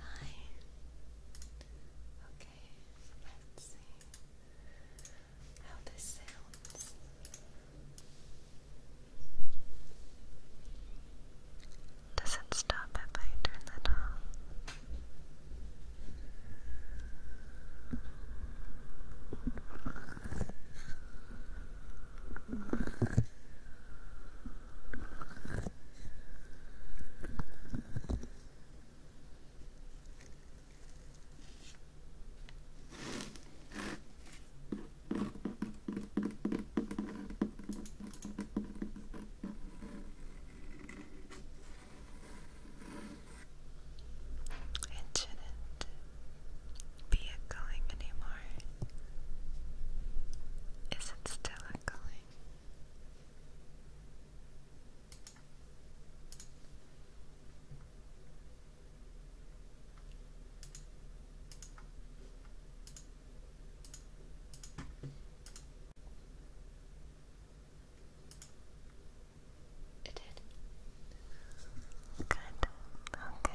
Hi. Okay, Does it stop if I turn that off? It should be a Is it still a It did. Good. Okay.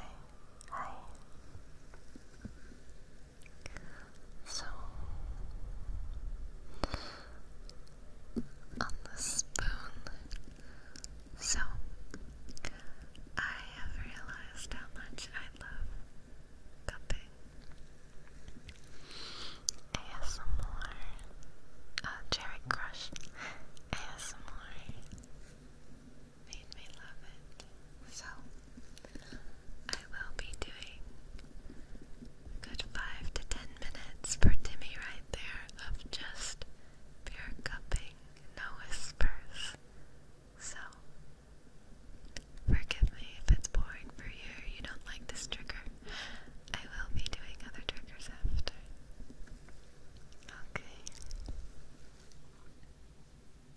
Hi. So, on the spoon. So, I have realized how much I love cupping. ASMR, uh, Cherry Crush, ASMR, made me love it. So, I will be doing good 5 to 10 minutes per Timmy right there of just pure cupping, no whispers. So, forgive me if it's boring for you you don't like this trigger. I will be doing other triggers after. Okay.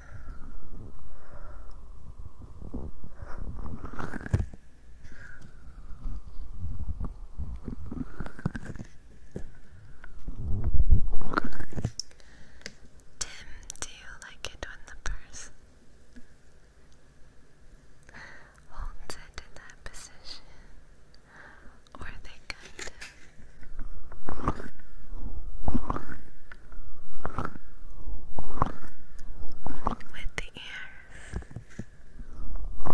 Tim, do you like it when the person holds it in that position? Or they kind of with the ears. Now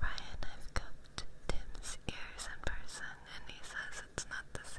Ryan, I've cupped Tim's ears in person and he says it's not the same.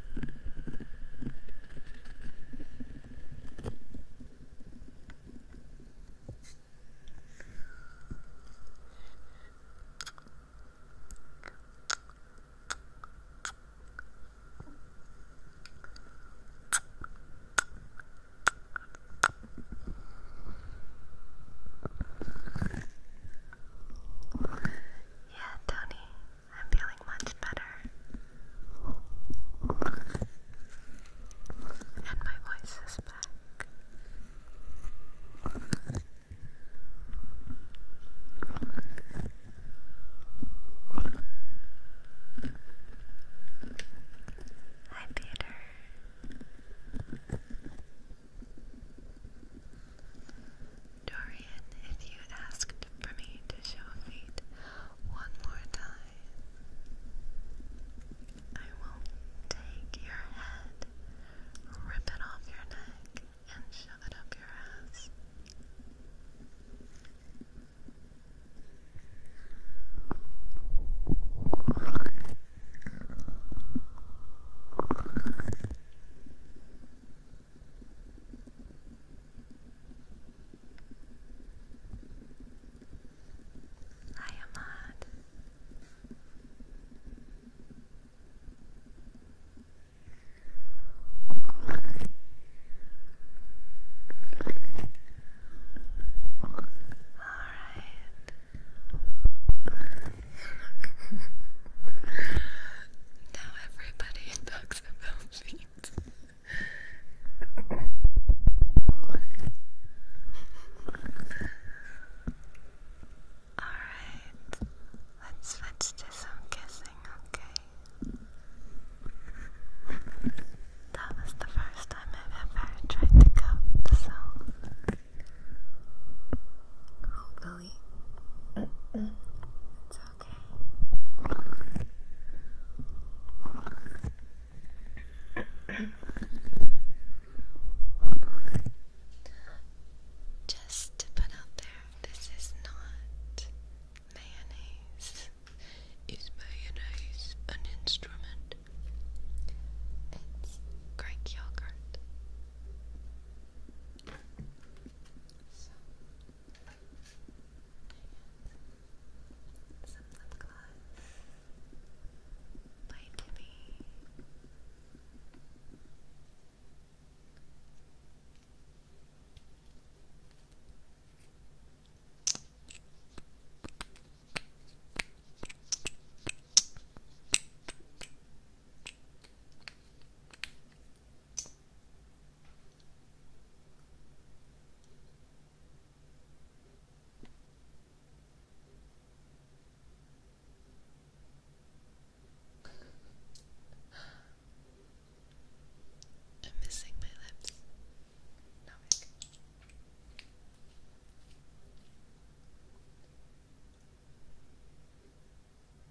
Yeah, Tony, I'm feeling much better. And my voice is back. Hi, Peter. Dorian, if you asked for me to show feet one more time, I will take your head, rip it off your neck, and shove it up your ass. I am mad. All right. now everybody he talks Alright, let's switch to some kissing, okay? That was the first time I've ever tried to go, so hopefully it's okay. Just to put out there, this is not mayonnaise. Is mayonnaise an instrument? It's Greek yogurt. So, and some lip gloss by Timmy. I'm missing my lips.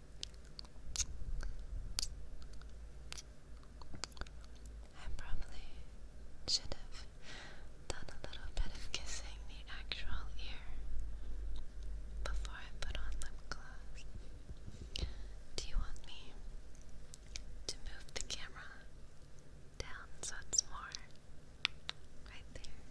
I probably should have done a little bit of kissing the actual ear before I put on lip gloss. Do you want me to move the camera down so it's more right there?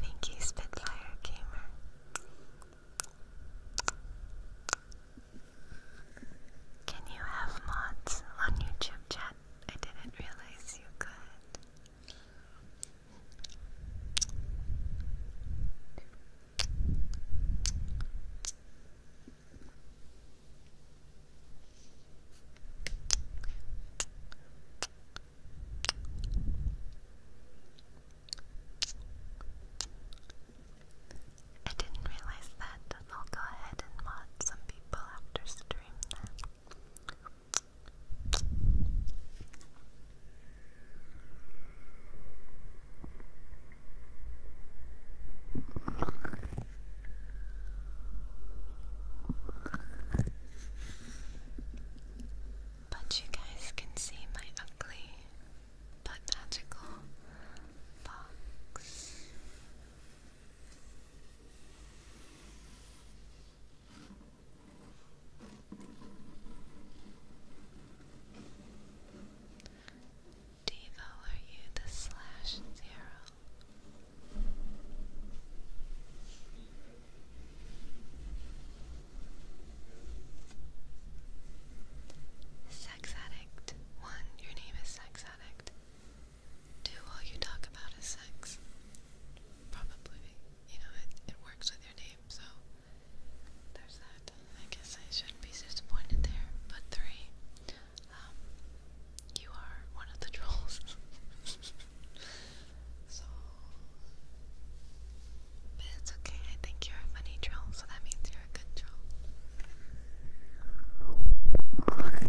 Thank you, Spitfire Gamer. Can you have mods on YouTube chat? I didn't realize you could. I didn't realize that I'll go ahead and mod some people after stream then. But you guys can see my ugly but magical box. Devo, are you the slash zero? Sex addict. One, your name is sex addict do all you talk about is sex. Probably. You know, it, it works with your name, so there's that. I guess I shouldn't be disappointed there. But three, um, you are one of the trolls. so, but it's okay. I think you're a funny troll, so that means you're a good troll.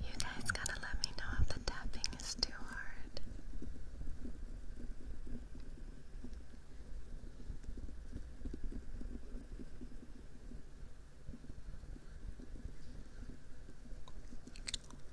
You guys gotta let me know if the tapping is too hard.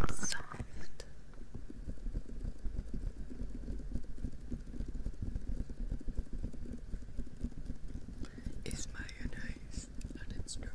It's soft. Is mayonnaise an instrument?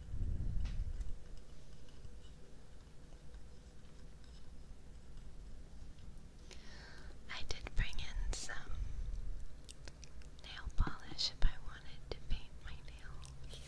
I did bring in some nail polish if I wanted to paint my nails.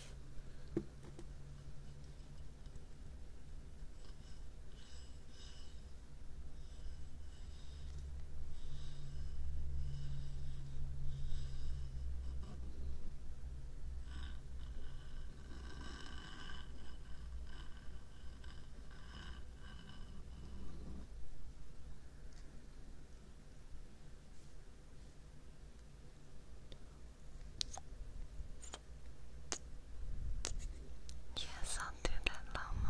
Yes, I'll do that, Lomo.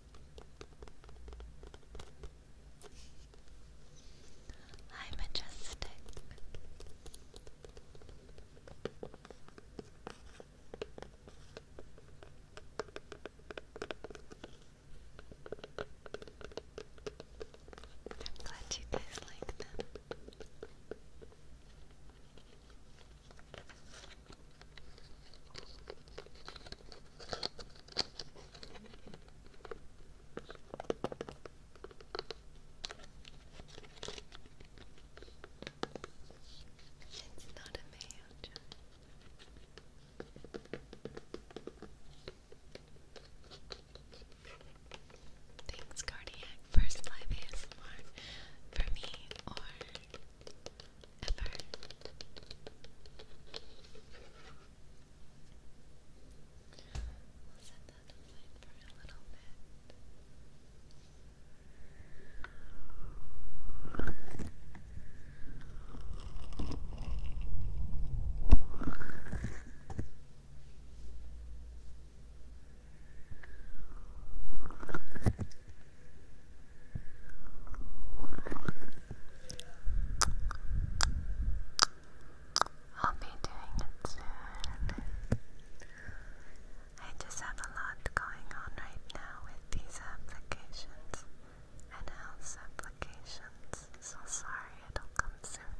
Hi, Majestic. I'm glad you guys like them. It's not a mayo jar. Thanks, Cardiac, first live ASMR for me or ever. We'll set that aside for a little bit. Now I'll be doing it soon. I just have a lot going on right now with these applications and house applications, so sorry it'll come soon.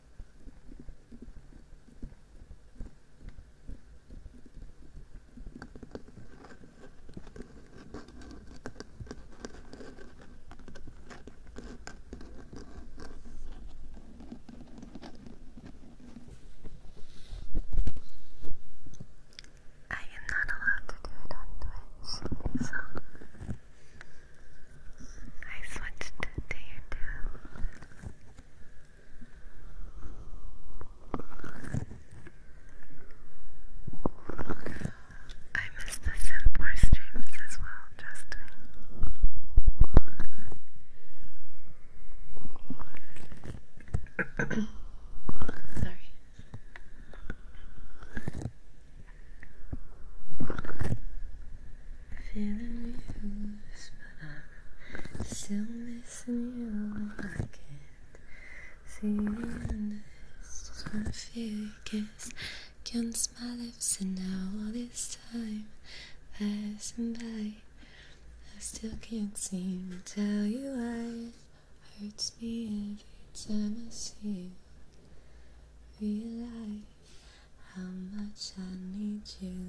I am not allowed to do it on Twitch, so I switched to your two. I miss the Sim streams as well, trust Sorry feeling used, but I'm still missing you. I can't see you, and it's just wanna feel your kiss against my lips, and now all this time passing by, I still can't seem to tell you why. It hurts me every time I see you. Realize how much I need you.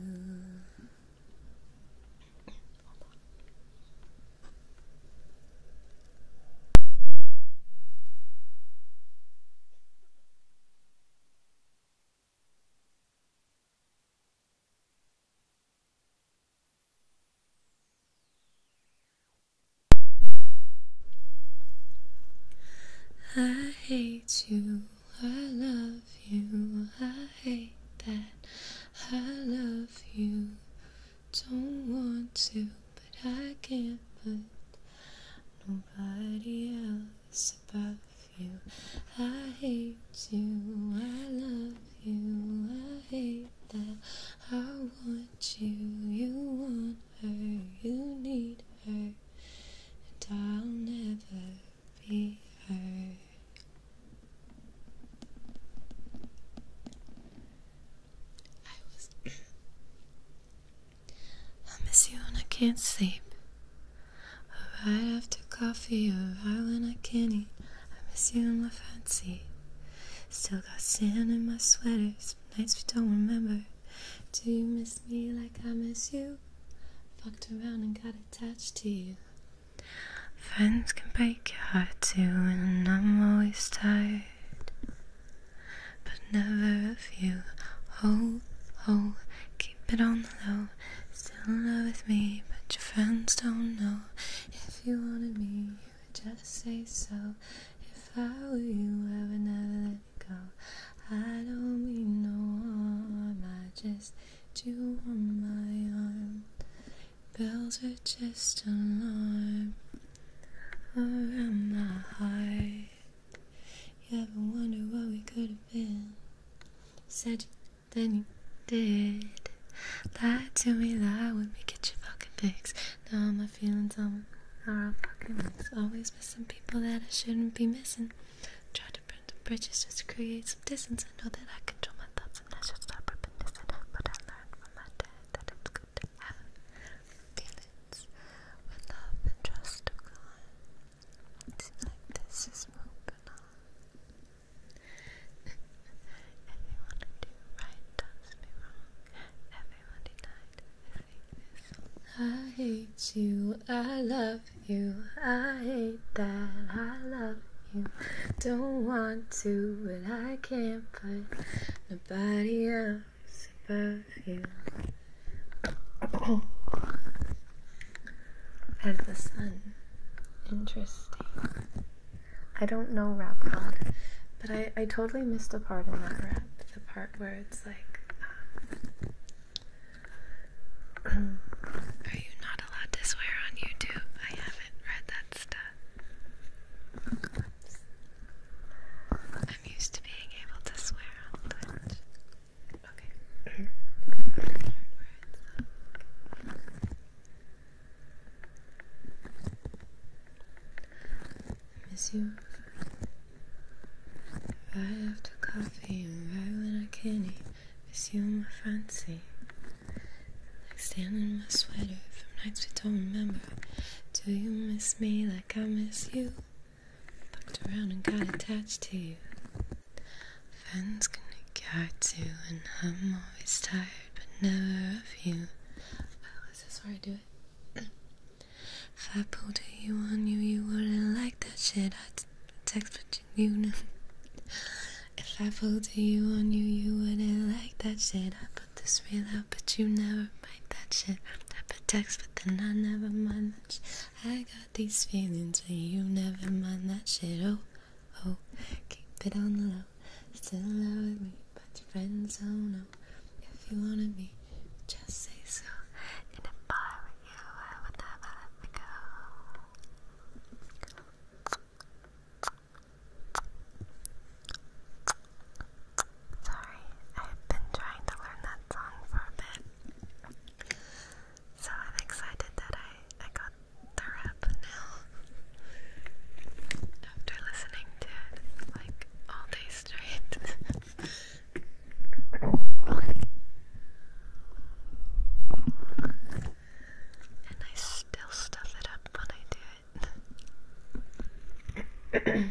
I hate you I love you, I hate that I love you, don't want to, but I can't put nobody else above you. I hate you, I love you, I hate that I want you, you want her, you need her, and I'll never I miss you when I can't sleep. Right after coffee, or right when I can't eat. I miss you in my fancy. Still got sand in my sweaters, nights we don't remember. Do you miss me like I miss you? Fucked around and got attached to you. Friends can break your heart too, and I'm always tired. But never if you. hold, hold, keep it on the low. Still in love with me, but your friends don't know. If you wanted me, you would just say so. If I were you, I would never let you go. I don't mean no harm, I just do on my arm. Bells are just alarm around my heart. You ever wonder what we could have been? Said you, then you did. Lie to me, lie with me, get your fucking fix. Now my feelings on are all fucking mixed. Always missing people that I shouldn't be missing. Try different British create some distance. I know that I control my thoughts and I should stop reminiscing, but I learned from my dad that it's good to have feelings with love and trust of oh God. It seems like this is moving on. Everyone who does me wrong. Everyone denied the fakeness. I hate you, I love you. I hate that I love you. Don't want to, but I can't put nobody else above you. As the sun. Interesting. I don't know rap god, but I, I totally missed a part in that rap. The part where it's like, um, are you not allowed to swear on YouTube? I haven't read that stuff. I'm used to being able to swear on Twitch. Okay. I miss you. Right after coffee right when I can eat. Miss you my fancy, Like standing in my sweater from nights we don't remember. Do you miss me like I miss you? Fucked around and got attached to you. Friends to get to, and I'm always tired, but never of you. Wow, is this where I do it? If I pulled you on you, you wouldn't like that shit. I would text, with you afternoon. if I pulled you on you, you wouldn't like that shit. I put this real out, but you never like that shit. I put text, but then I never mind that I got these feelings, and you never mind that shit. Oh, oh, keep it on the low. Still in love with me, but your friends don't know. If you wanted me, just say so. And if I were you, I would never let me go. Sorry, I've been trying to learn that song for a bit. So I'm excited that I, I got the rap now. After listening to it like all day straight. And I still stuff it up when I do it. Here they go.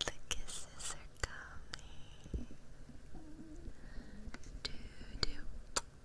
The kisses are coming. Do do.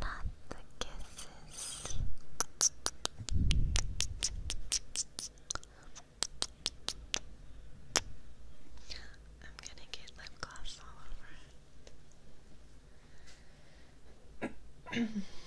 Not the kisses. I'm gonna get lip gloss all over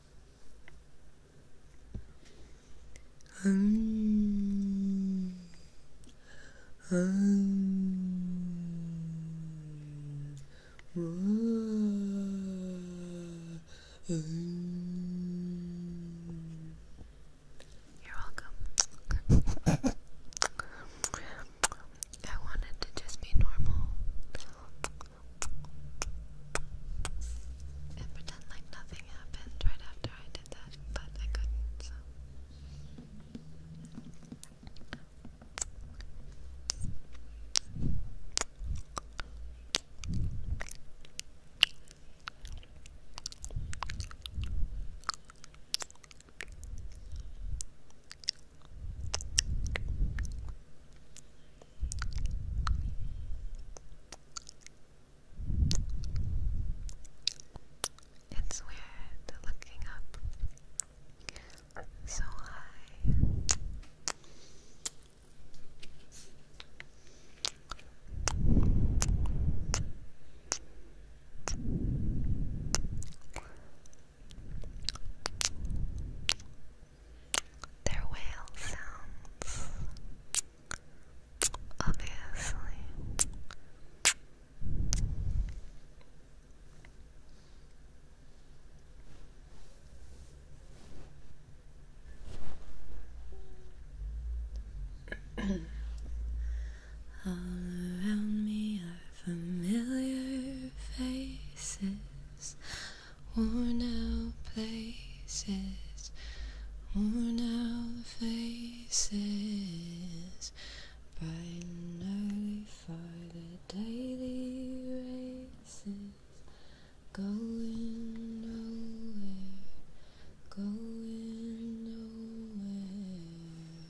Um, You're welcome. I wanted to just be normal and pretend like nothing happened right after I did that, but I couldn't, it's weird looking up so high. Their whale sounds, obviously. All around me are familiar faces worn out places, worn out faces, bright and early for the daily races, going nowhere, going nowhere,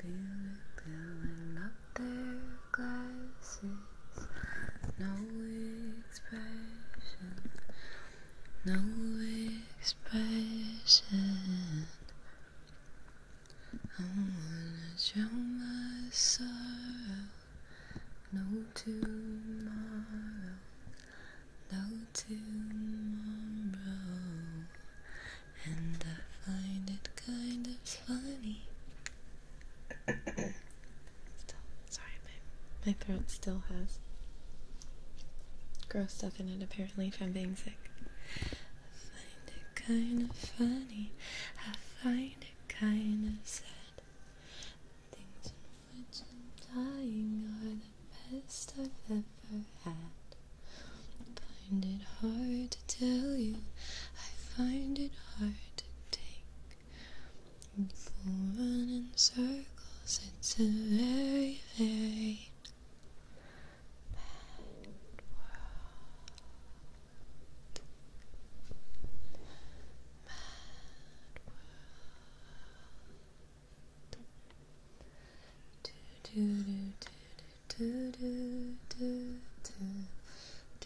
feeling going up their glasses. No expression, no expression. I wanna drown my sorrow. No tomorrow, no tomorrow. And I find it kind of funny sorry, my, my throat still has gross stuff in it apparently from being sick. I find it kind of funny, I find it kind of sad. Things in which I'm dying are the best I've ever had. I find it hard to tell you, I find it hard to take. People run circles, it's a very, very bad world. Bad world.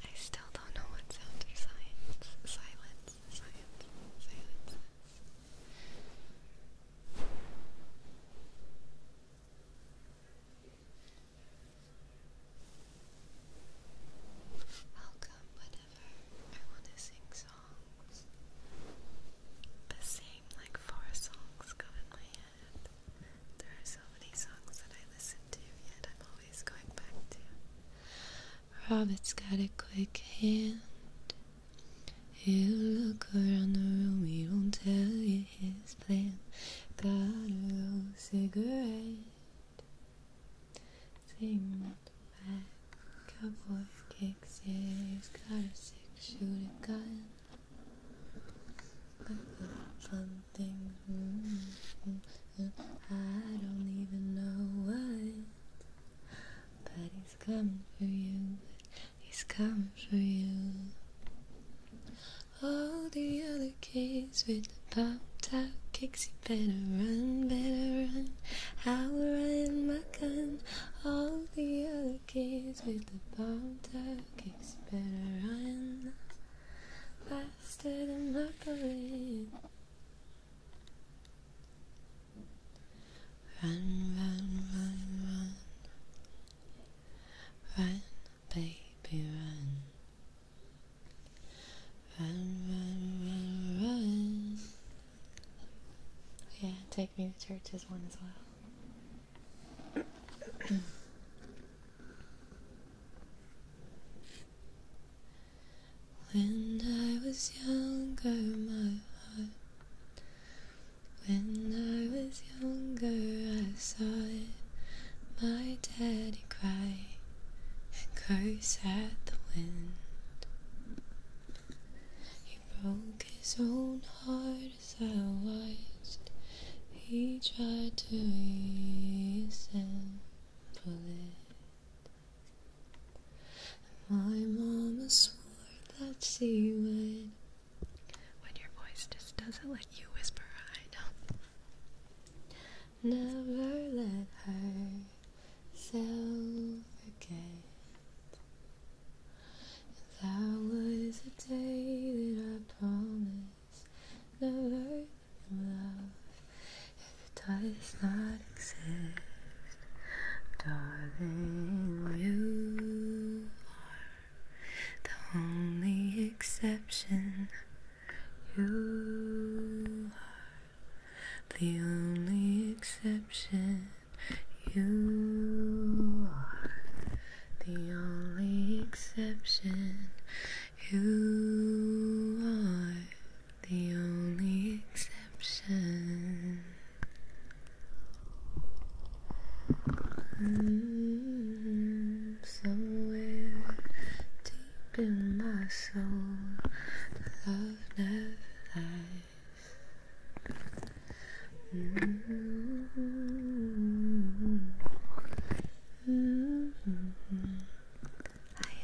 I still don't know what sound of science, silence, science, silence is. Welcome whenever I want to sing songs. The same like four songs go in my head band. There are so many songs that I listen to, yet i has got a quick hand. He'll look around the room, he won't tell you his plan. Got a old cigarette. Sing up back. Cowboy kicks it. He's got a six shooter gun. The fun thing. I don't even know why, but he's coming for you. He's coming for you. All the other kids with the popped out kicks, you better run, better run. I'll run my gun. All the other kids with the popped out kicks, you better run faster than luckily. Run, run, run, run. Run, baby, run. Run, run, run, run. Yeah, take me to church is one as well. When I was younger, my heart. When I was younger, I saw it. My daddy cry and curse at the wind. He broke his own heart I watched, he tried to ease and My mama swore that she would. When your voice just doesn't let you whisper, I know. Never let herself forget. That was the day that I promised the word love If it does not exist, darling, you are the only exception You are the only exception you are the only exception. You are the only exception. Mm, somewhere deep in my soul, love never lies. Mm. Mm -hmm. I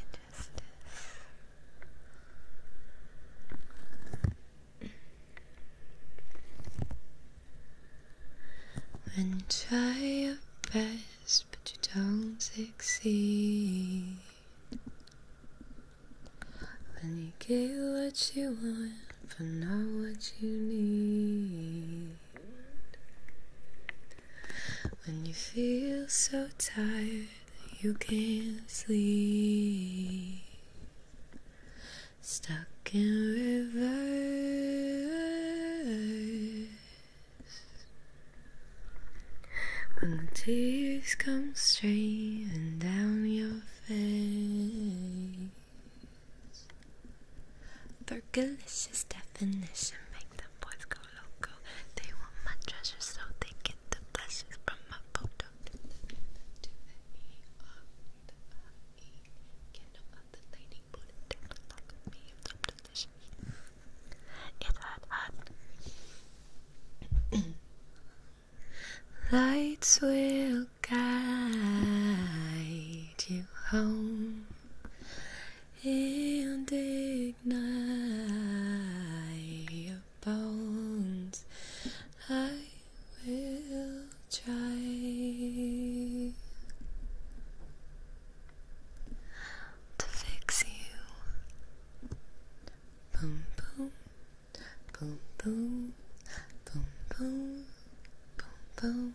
When you try your best but you don't succeed When you get what you want but not what you need when you feel so tired you can't sleep, stuck in reverse. When the tears come streaming down your face. Their delicious definition make them boys go loco. They want my treasure, so they get the blessings from my photo. of the lady, put it down and me. It's so delicious. It's hot, hot. Lights will guide you home and ignite your bones. I will try to fix you. Boom, boom, boom, boom, boom, boom, boom, boom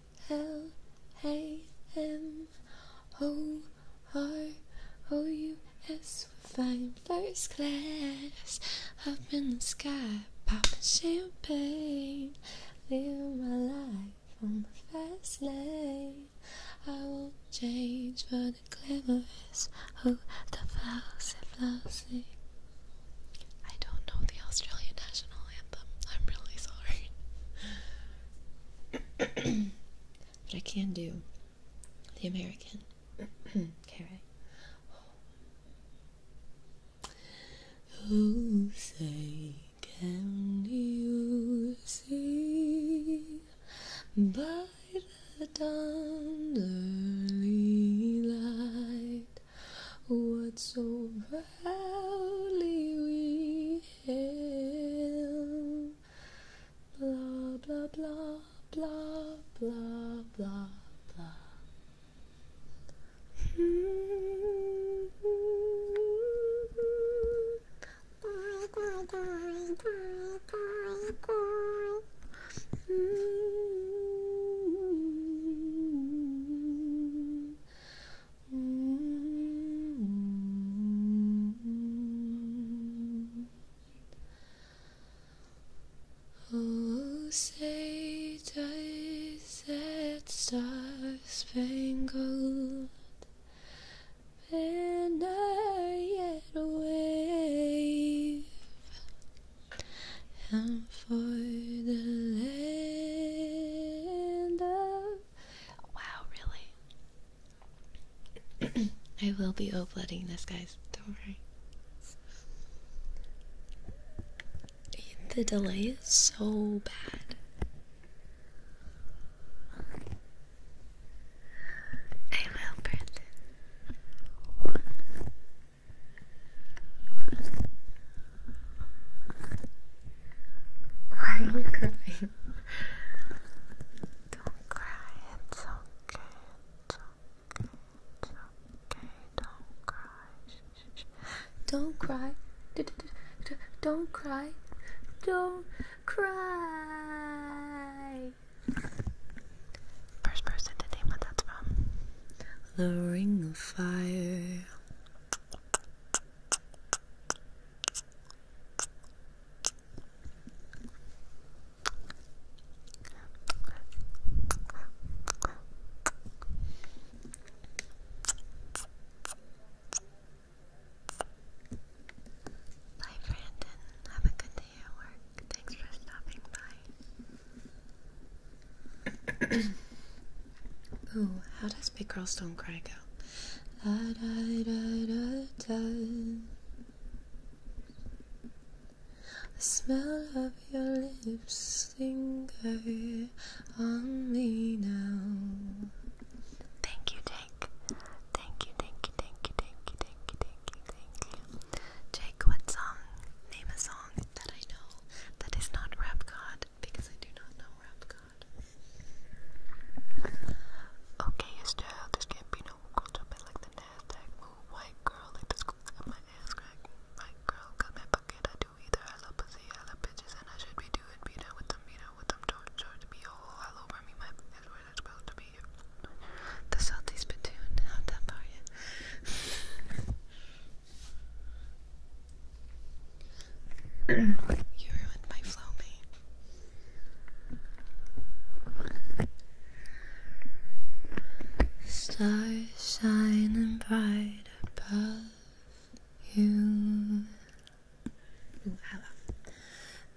L A M O R O U S. We're flying first class up in the sky, popping champagne, living my life on the fast lane. I won't change for the glamorous. Oh, the flousy, flousy. I don't know the Australian national anthem. I'm really sorry. but I can do the American. okay, right? Oh, say, can you by the dawn's light what so proudly we hail. Blah, blah, blah, blah, blah, blah, blah. Oh, say star spangled banner yet wave? And for the land Wow, really? I will be uploading this, guys. Don't worry. The delay is so bad. I will, Brandon. Why are you crying? Don't cry, it's okay, it's okay, it's okay, don't cry. Don't cry. don't cry. Don't cry. First person to name what that's from. The Ring of Fire. Bye, Brandon. Have a good day at work. Thanks for stopping by. Ooh, how does Big Girl Stone Cry go? La, da, da, da, da. The smell of your lips linger on me now. Thank you, Jake. Thank you, thank you, thank you, thank you, thank you, thank you, thank you. Jake, what song? Name a song that I know that is not Rap God because I do not know where I'm going. Okay, yes, child, this can't be no jumping like the NASDAQ move. White girl, like the this got my ass cracked. White girl, got my pocket. I do either. I love pussy, I love bitches, and I should be doing beat up with them, beat up with them, George, George, be all oh, all over me. My is where that's are supposed to be. The salty spittoon, how tough are you? you ruined my flow, mate. Stars shining bright above you. Ooh,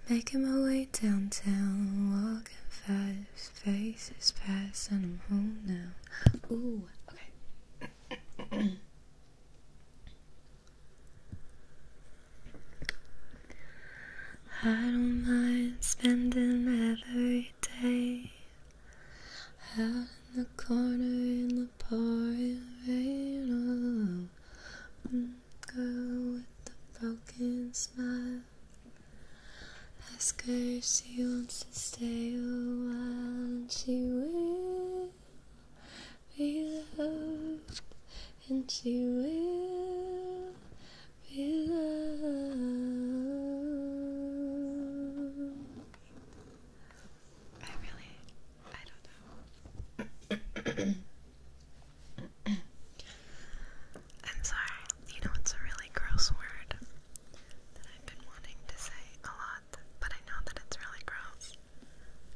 Making my way downtown, walking fast, faces past, and I'm home now. Ooh, okay. I don't mind spending every day out in the corner in the pouring rain. Oh, girl with a broken smile. Ask her if she wants to stay a while, and she will be loved, and she will be loved. I really, I don't know. I'm sorry, you know, it's a really gross word that I've been wanting to say a lot, but I know that it's really gross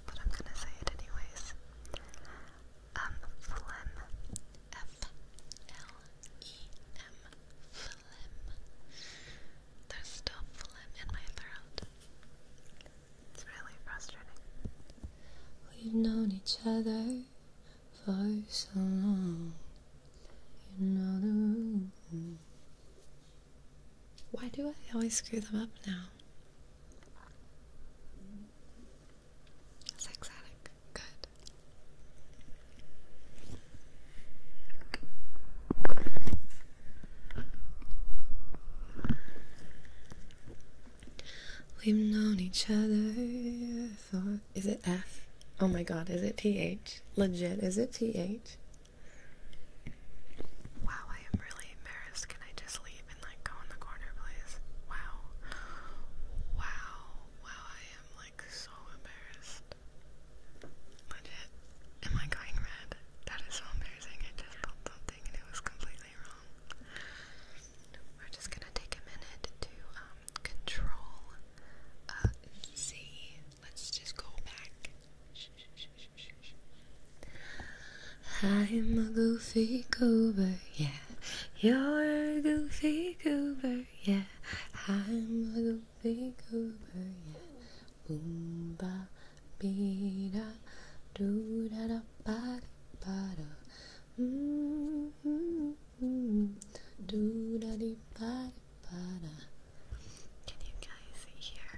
but I'm gonna say it anyways. Um, phlegm, F L E M, phlegm. There's still phlegm in my throat. It's really frustrating. We've known each other for so long. You know the rules. Why do I always screw them up now? Sexatic. Good. We've known each other for. Is it F? Oh my god, is it TH? Legit, is it TH? Wow, I am really embarrassed. Can I just leave and like go in the corner, please? Wow. Wow. Wow, I am like so embarrassed. Legit. Am I going red? That is so embarrassing. I just built something and it was completely wrong. We're just gonna take a minute to um, control uh Let's just go back. I'm a goofy goober, yeah. You're a goofy goober, yeah. I'm a goofy goober, yeah. Boom ba be da do da da ba ba da. Mm -hmm. Do da dee, ba ba da. Can you guys hear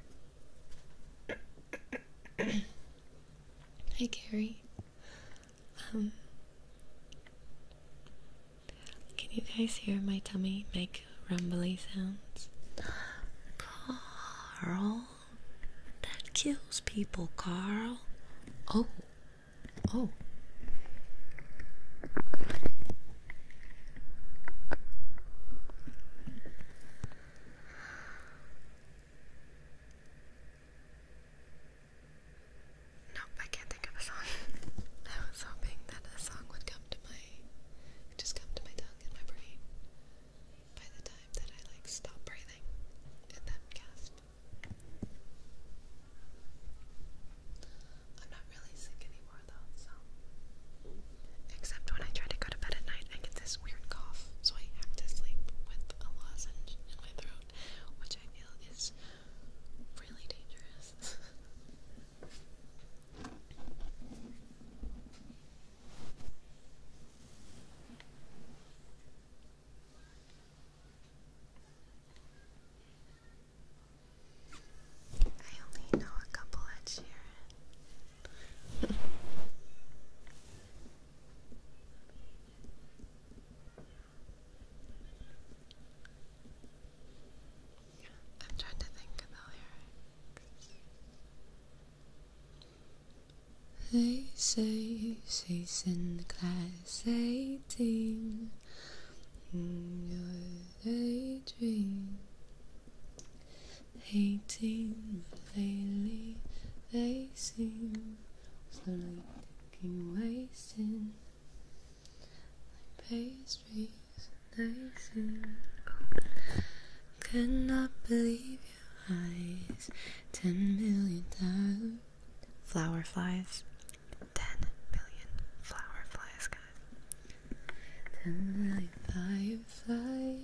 Hi, Gary. Um, can you guys hear my tummy make rumbly sounds? Carl, that kills people, Carl. Oh, oh. Nope, I can't think of a song. I was hoping that a song would come to my just come to my tongue and my brain by the time that I like stop breathing and then gasp. I'm not really sick anymore though, so Except when I try to go to bed at night, I get this weird cough, so I have to sleep with a lozenge in my throat, which I feel is really dangerous. I only know a couple at Sharon. I'm trying to think of the lyrics. They say she's in the class 18 in mm, your daydream hating, but lately they seem slowly looking wasting like pastries and icing. Cannot believe your eyes, ten million times. Flower flies, ten million flower flies, guys. Ten million flies.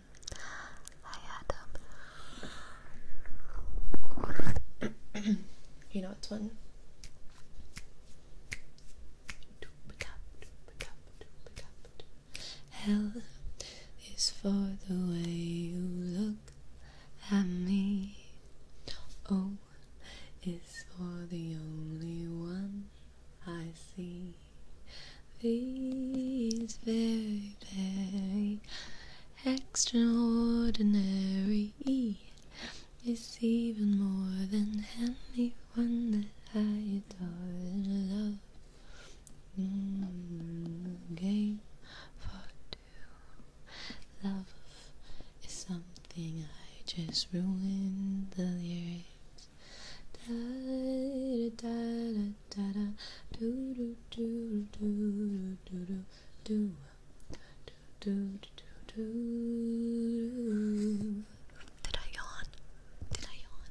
Um, you know it's when Hell is for the way you look at me. O is for the only one I see. These very, very Extraordinary is even more than anyone that I adore and mm, love. game for two. Love is something I just ruined the lyrics. Did I yawn? Did I yawn?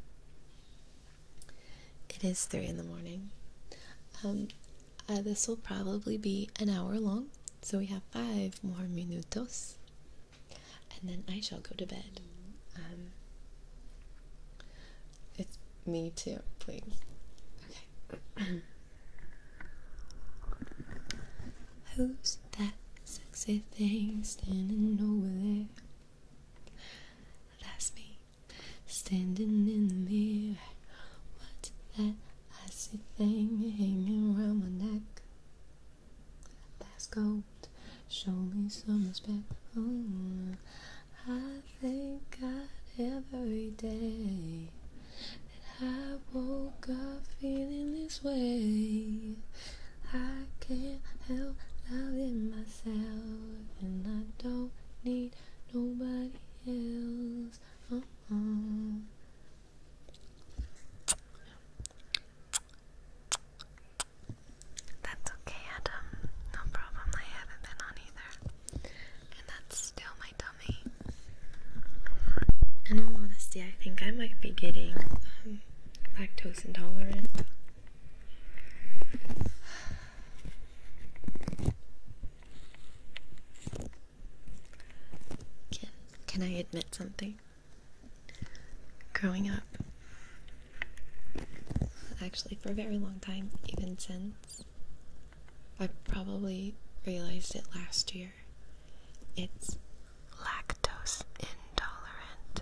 It is three in the morning. Um, uh, this will probably be an hour long, so we have five more minutos, and then I shall go to bed. Um, it's me too, please. Okay. Who's that sexy thing standing over there? That's me, standing in the mirror. What's that icy thing hanging around my neck? That's gold. Show some respect. Oh, thank God every day that I woke up feeling this way. I can't help loving myself, and I don't need nobody else. Uh-uh. That's okay, Adam. No problem. I haven't been on either. And that's still my tummy. In all honesty, I think I might be getting um, lactose intolerant. Can, can I admit something? Growing up, actually, for a very long time, even since I probably realized it last year. It's lactose intolerant.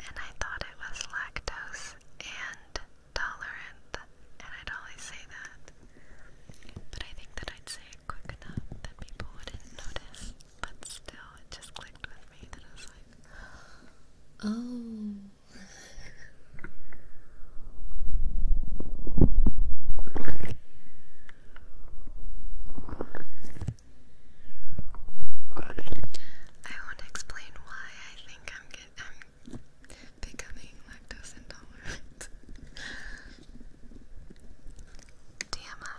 And I thought it was lactose and tolerant. And I'd always say that. But I think that I'd say it quick enough that people wouldn't notice. But still, it just clicked with me that I was like, oh, I won't explain why I think I'm get I'm becoming lactose intolerant. DMI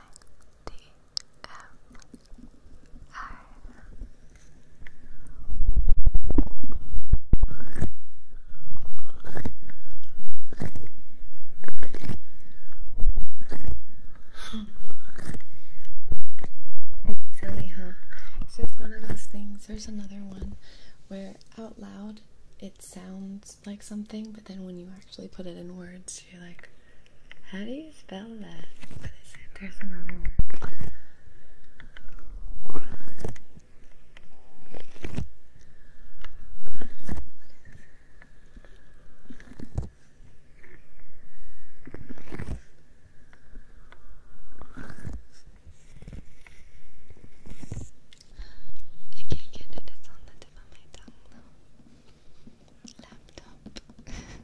it's silly, huh? It's just one of those things. There's another one where out loud it sounds like something, but then when you actually put it in words, you're like, how do you spell that? There's another one. I can't get it, it's on the tip of my tongue Laptop.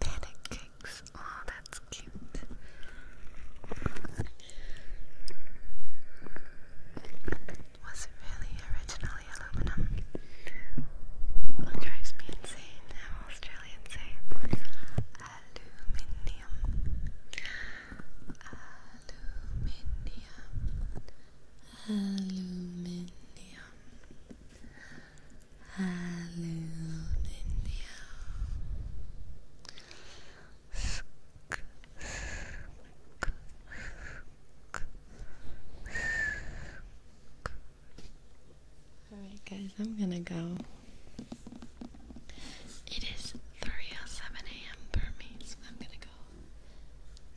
Panic Oh, that's cute. Was it really originally aluminum? What drives me insane, how Australians say Aluminium. Aluminium. Aluminium. Alright, guys, I'm gonna go. It is 3 7 a.m. for me, so I'm gonna go.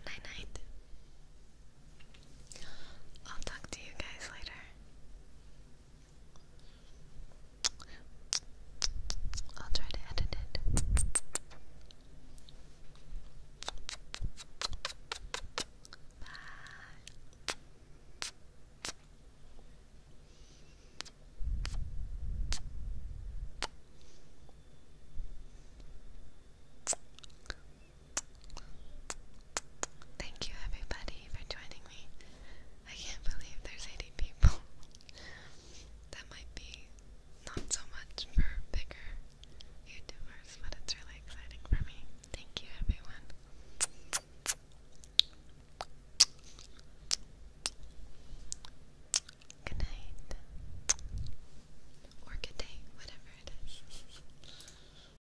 Night night. I'll talk to you guys later. I'll try to edit it. Bye. Thank you, everybody, for joining me. I can't believe there's 80 people. that might be not so much for bigger YouTubers, but it's really exciting for me. Thank you, everyone. Good night. Or good day, whatever it is.